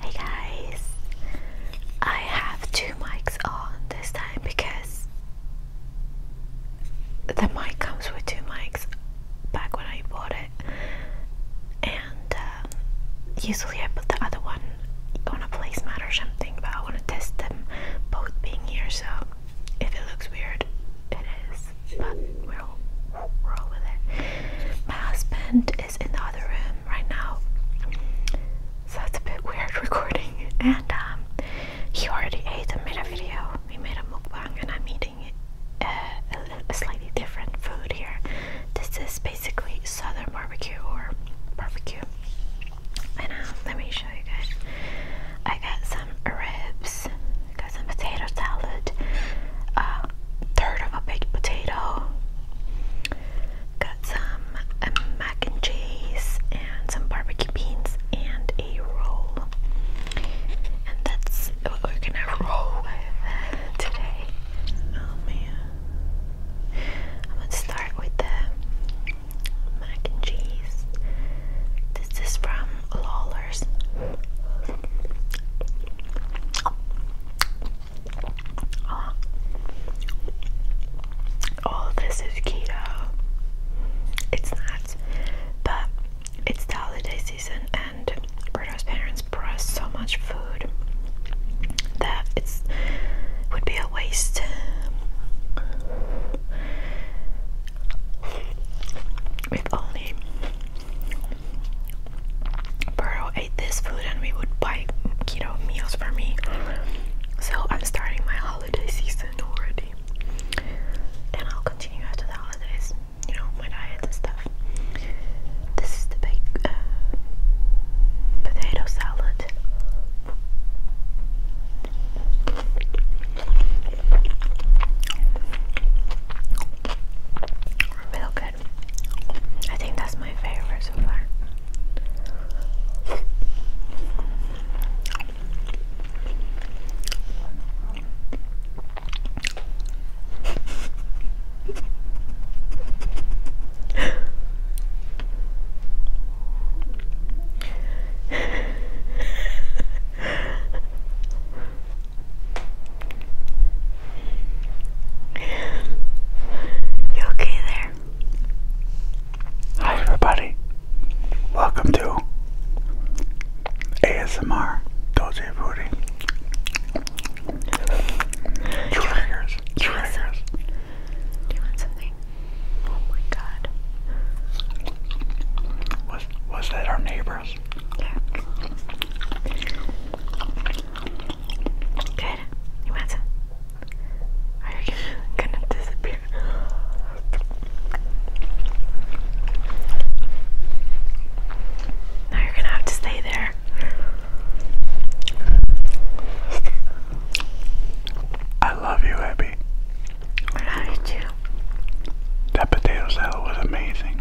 Hey guys, I have two mics on this time because the mic comes with two mics back when I bought it, and um, usually I put the other one on a placemat or something, but I want to test them both being here. So if it looks weird, it is, but we're all, with it. My husband is in the other room right now, so that's a bit weird recording. And um, he already ate and made a video. We made a mukbang, and I'm eating uh, a, a slightly different food here. This is basically southern barbecue or barbecue. And uh, let me show you guys. I got some ribs, got some potato salad. Uh, third of a baked potato. Got some um, mac and cheese and some barbecue beans and a roll. And that's what we're gonna roll with today. Oh man. I'm gonna start with the mac and cheese. This is from Lawler's. Oh, all this is keto. It's not, but it's the holiday season, and Berto's parents brought so much food that it's would be a waste. If only Burrow ate this food and we would buy keto meals for me. So I'm starting my holiday season already. And I'll continue after the holidays, you know, my diet and stuff. This is the big uh, potato salad. Milk I think that's my favorite so far. You okay there? Hi, everybody. Welcome to ASMR Doji Booty. Triggers. Triggers. Do you want something? Oh my god. Was was that our neighbors? Good. You want some? Are you gonna, disappear? Now you're gonna have to stay there. I love you, Abby. I love you That potato's that was amazing.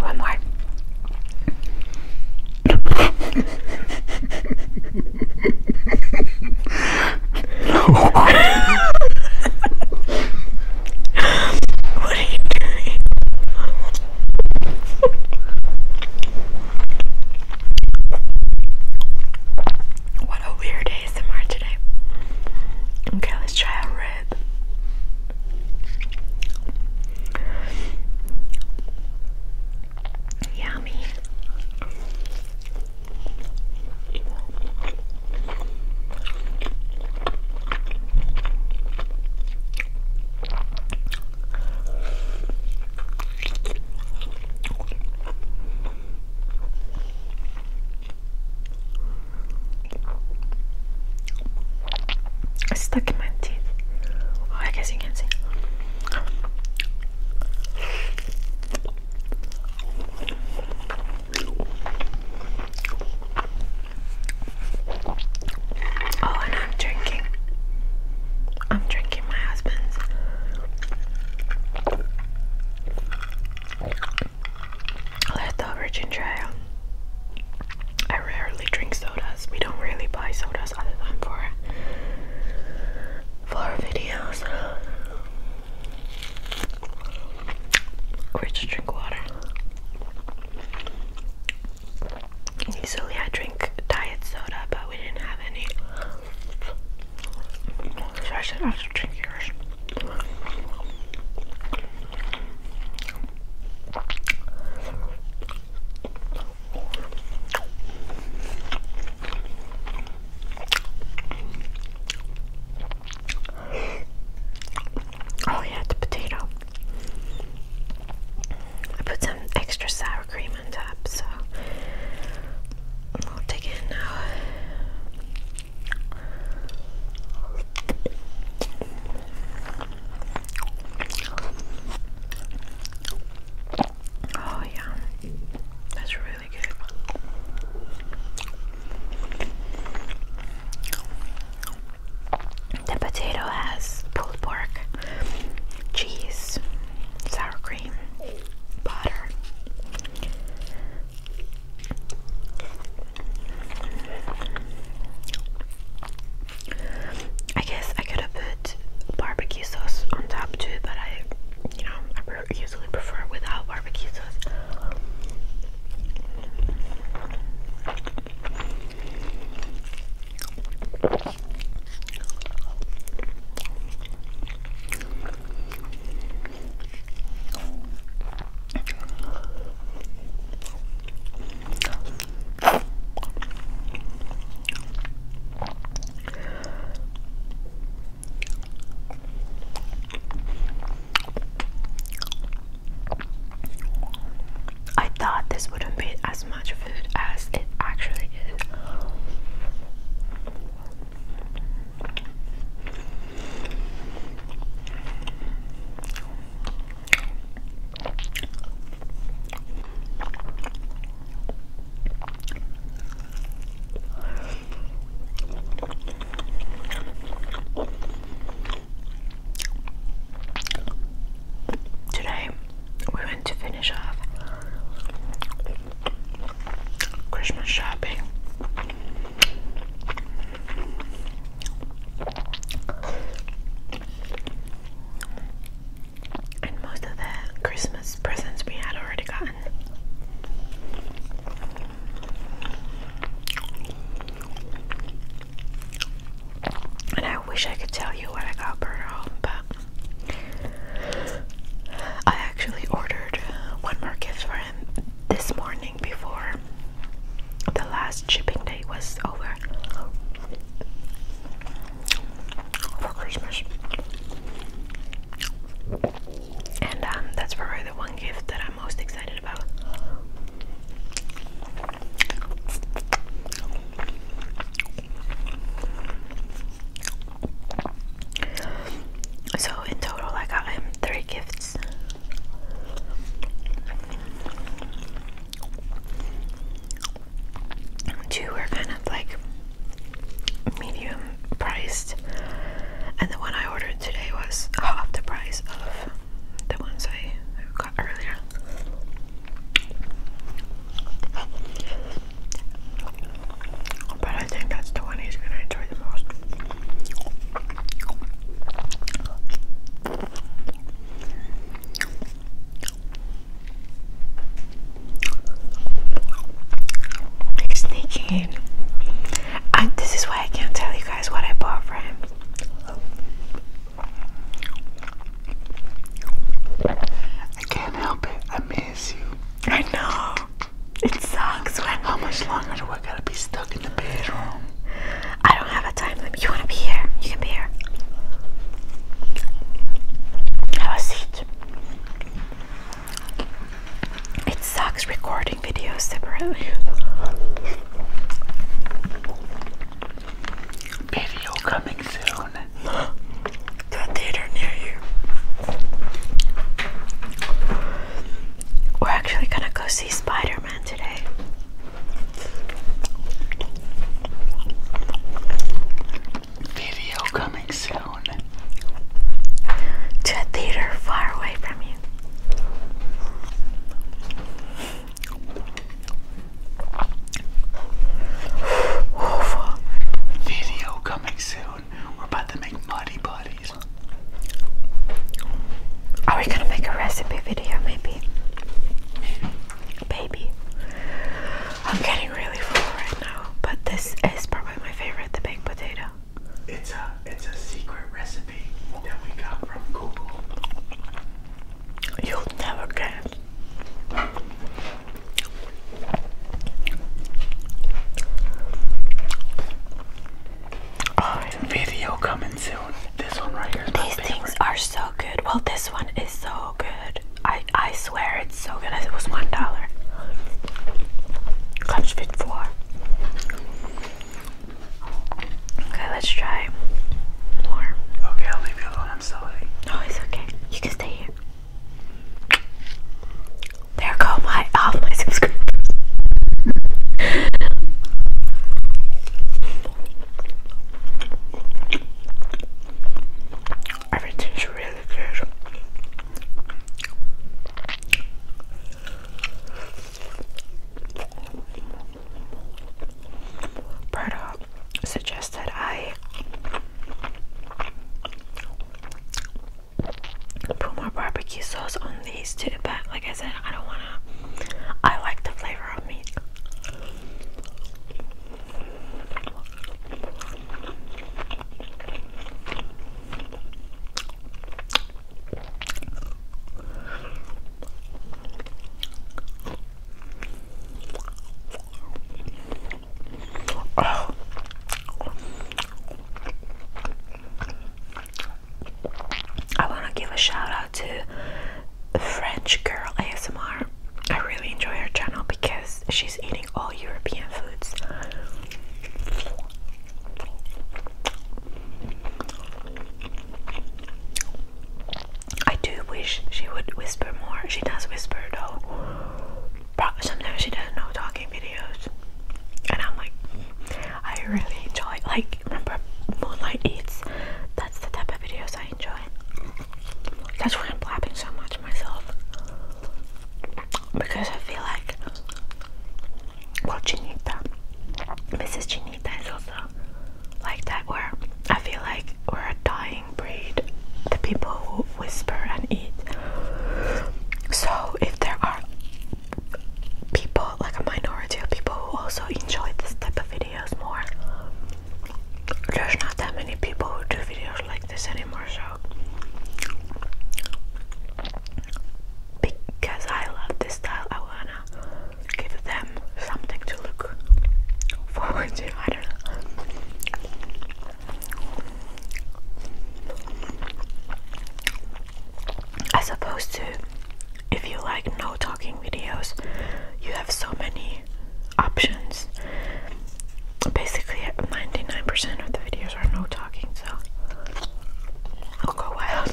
One more. what are you doing? what a weird ASMR today. Okay, let's try a red head. Yummy. It's stuck in my teeth. Oh, I guess you can see. Oh, and I'm drinking. I'm drinking my husband's leftover ginger ale. I rarely drink sodas. We don't really buy sodas other than for for videos. We just drink water. Usually I drink diet soda, but we didn't have any. So I should also drink yours. Oh, yeah, the potato. I put some extra sour cream on top, so I'll dig in now. Oh, yeah, that's really good. The potato has pulled pork, cheese, sour cream, butter, I guess I could have put barbecue sauce on top too, but I, you know, I usually prefer without barbecue sauce. I thought this wouldn't be as much food as it actually is. Today we went to finish off Christmas shopping and most of the Christmas presents we had already gotten. And I wish I could tell you what I got brought home, but I actually ordered one more gift for him this morning before the last shipping day was over for Christmas. And um, that's probably the one gift that I'm most excited about. So in total, I got him um, three gifts. Two were kind of like medium priced, and the one I ordered today was half the price of the ones I got earlier. I think that's the one he's gonna enjoy the most. He's sneaking in. this is why I can't tell you guys what I bought for him. I can't help it. I miss you. I know. It sucks when. How much longer do I gotta be stuck in the bedroom? I don't have a time limit. You wanna be here? You can be here. Have a seat. It sucks recording videos separately. Video coming soon. to theater near you. We're actually gonna go see Spider Man today. Video coming soon. To a theater far away from you. Video coming soon. We're about to make muddy buddies. Are we gonna make a recipe video maybe? Baby. I'm getting really full right now, but this is probably my favorite, the baked potato. It's a it's a secret recipe that we got from Google. You'll never get video coming soon. This one right here. These things are so good. Well, this one is so good. I I swear it's so good. It was one dollar. Clutch fit four. Okay, let's try more. Okay, I'll leave you alone. I'm sorry. No, it's okay. You can stay here. There go my all my subscribers. Everything's really good. Berta suggested I put more barbecue sauce on these too, but like I said, I don't wanna. I like the flavor of meat. I want to give a shout out to French Girl ASMR. I really enjoy her channel because she's eating all European foods. I do wish she would whisper more. She does whisper though sometimes she does no talking videos, and I'm like, I really enjoy. Like, remember Moonlight Eats? That's the type of videos I enjoy. That's why I'm blabbing so much myself, because I feel like, well, Chinita, Mrs. Chinita is also like that, where I feel like we're a dying breed. The people who whisper and eat. So if there are people, like a minority of people who also enjoy this type of videos more, there's not that many people who do videos like this anymore, so because I love this style, I wanna give them something to look forward to. I don't know. As opposed to if you like no talking videos, you have so many options. Basically, 99% of the videos are no talking, so I'll go wild.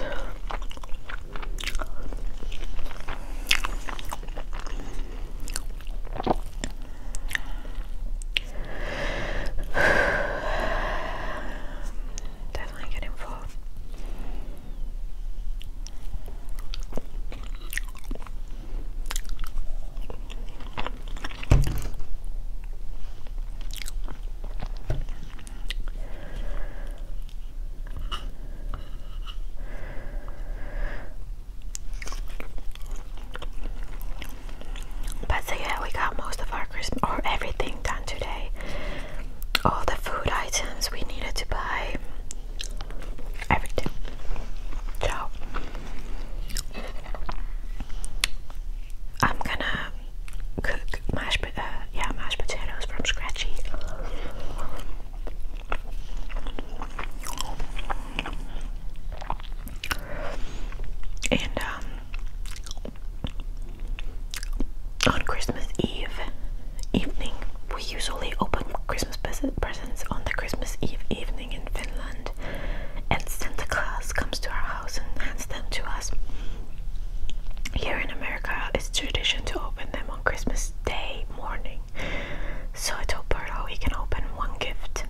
Definitely getting full. But yeah, we got most of our Christmas or everything done today. All the food items we needed to buy, everything. So I'm gonna cook mashed, uh, yeah, mashed potatoes from scratchy. And um, on Christmas Eve evening, we usually open Christmas presents on the Christmas Eve evening in Finland, and Santa Claus comes to our house and hands them to us. Here in America, it's tradition to open them on Christmas Day morning. So I told Berto we can open one gift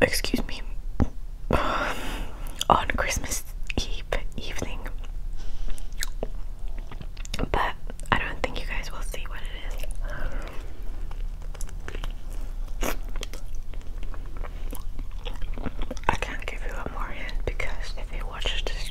excuse me, on Christmas Eve evening. But I don't think you guys will see what it is. I can't give you a more hint because if you watch this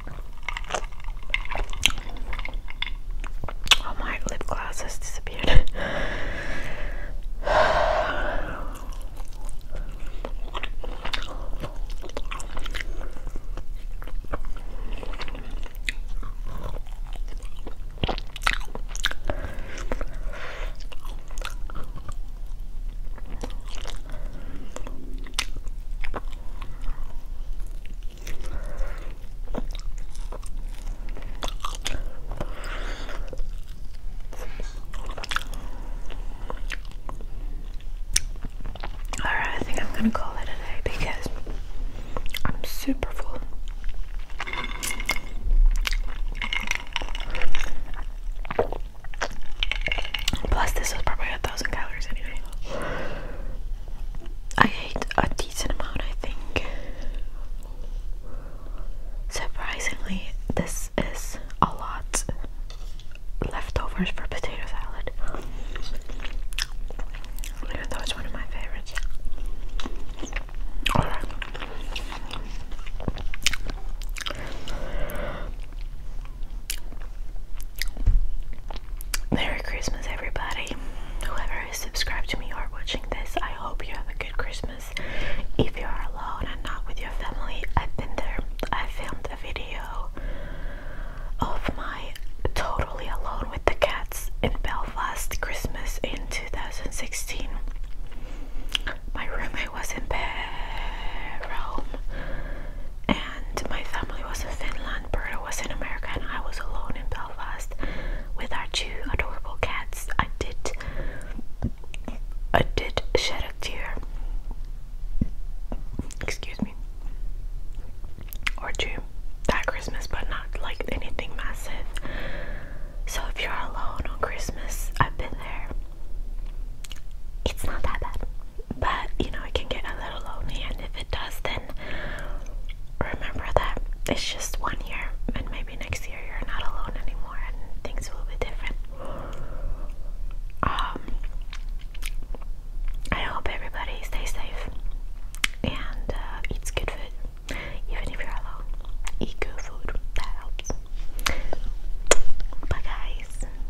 Oh, my lip gloss has disappeared. Alright, I think I'm gonna call it a day because I'm super full. Plus, this was probably a thousand calories anyway. I ate a decent amount, I think. Surprisingly, this is a lot leftovers for potato salad. Even though it's one of my favorites. Merry Christmas, everybody. Whoever is subscribed to me or watching this, I hope you have a good Christmas. If you are alone and not with your family, I've been there. I filmed a video of my totally alone with the cats in Belfast Christmas in 2016. My roommate was in Rome, and my family was in Finland, Berta was in America, and I was alone in Belfast with our two adorable cats. I did, I did shed a tear. Excuse me. Or two that Christmas, but not like anything massive. So if you're alone on Christmas, I've been there. It's not that bad but you know it can get a little lonely and if it does then remember that it's just one year and maybe next year you're not alone anymore and things will be different um I hope everybody stays safe and uh, eats good food even if you're alone eat good food that helps bye guys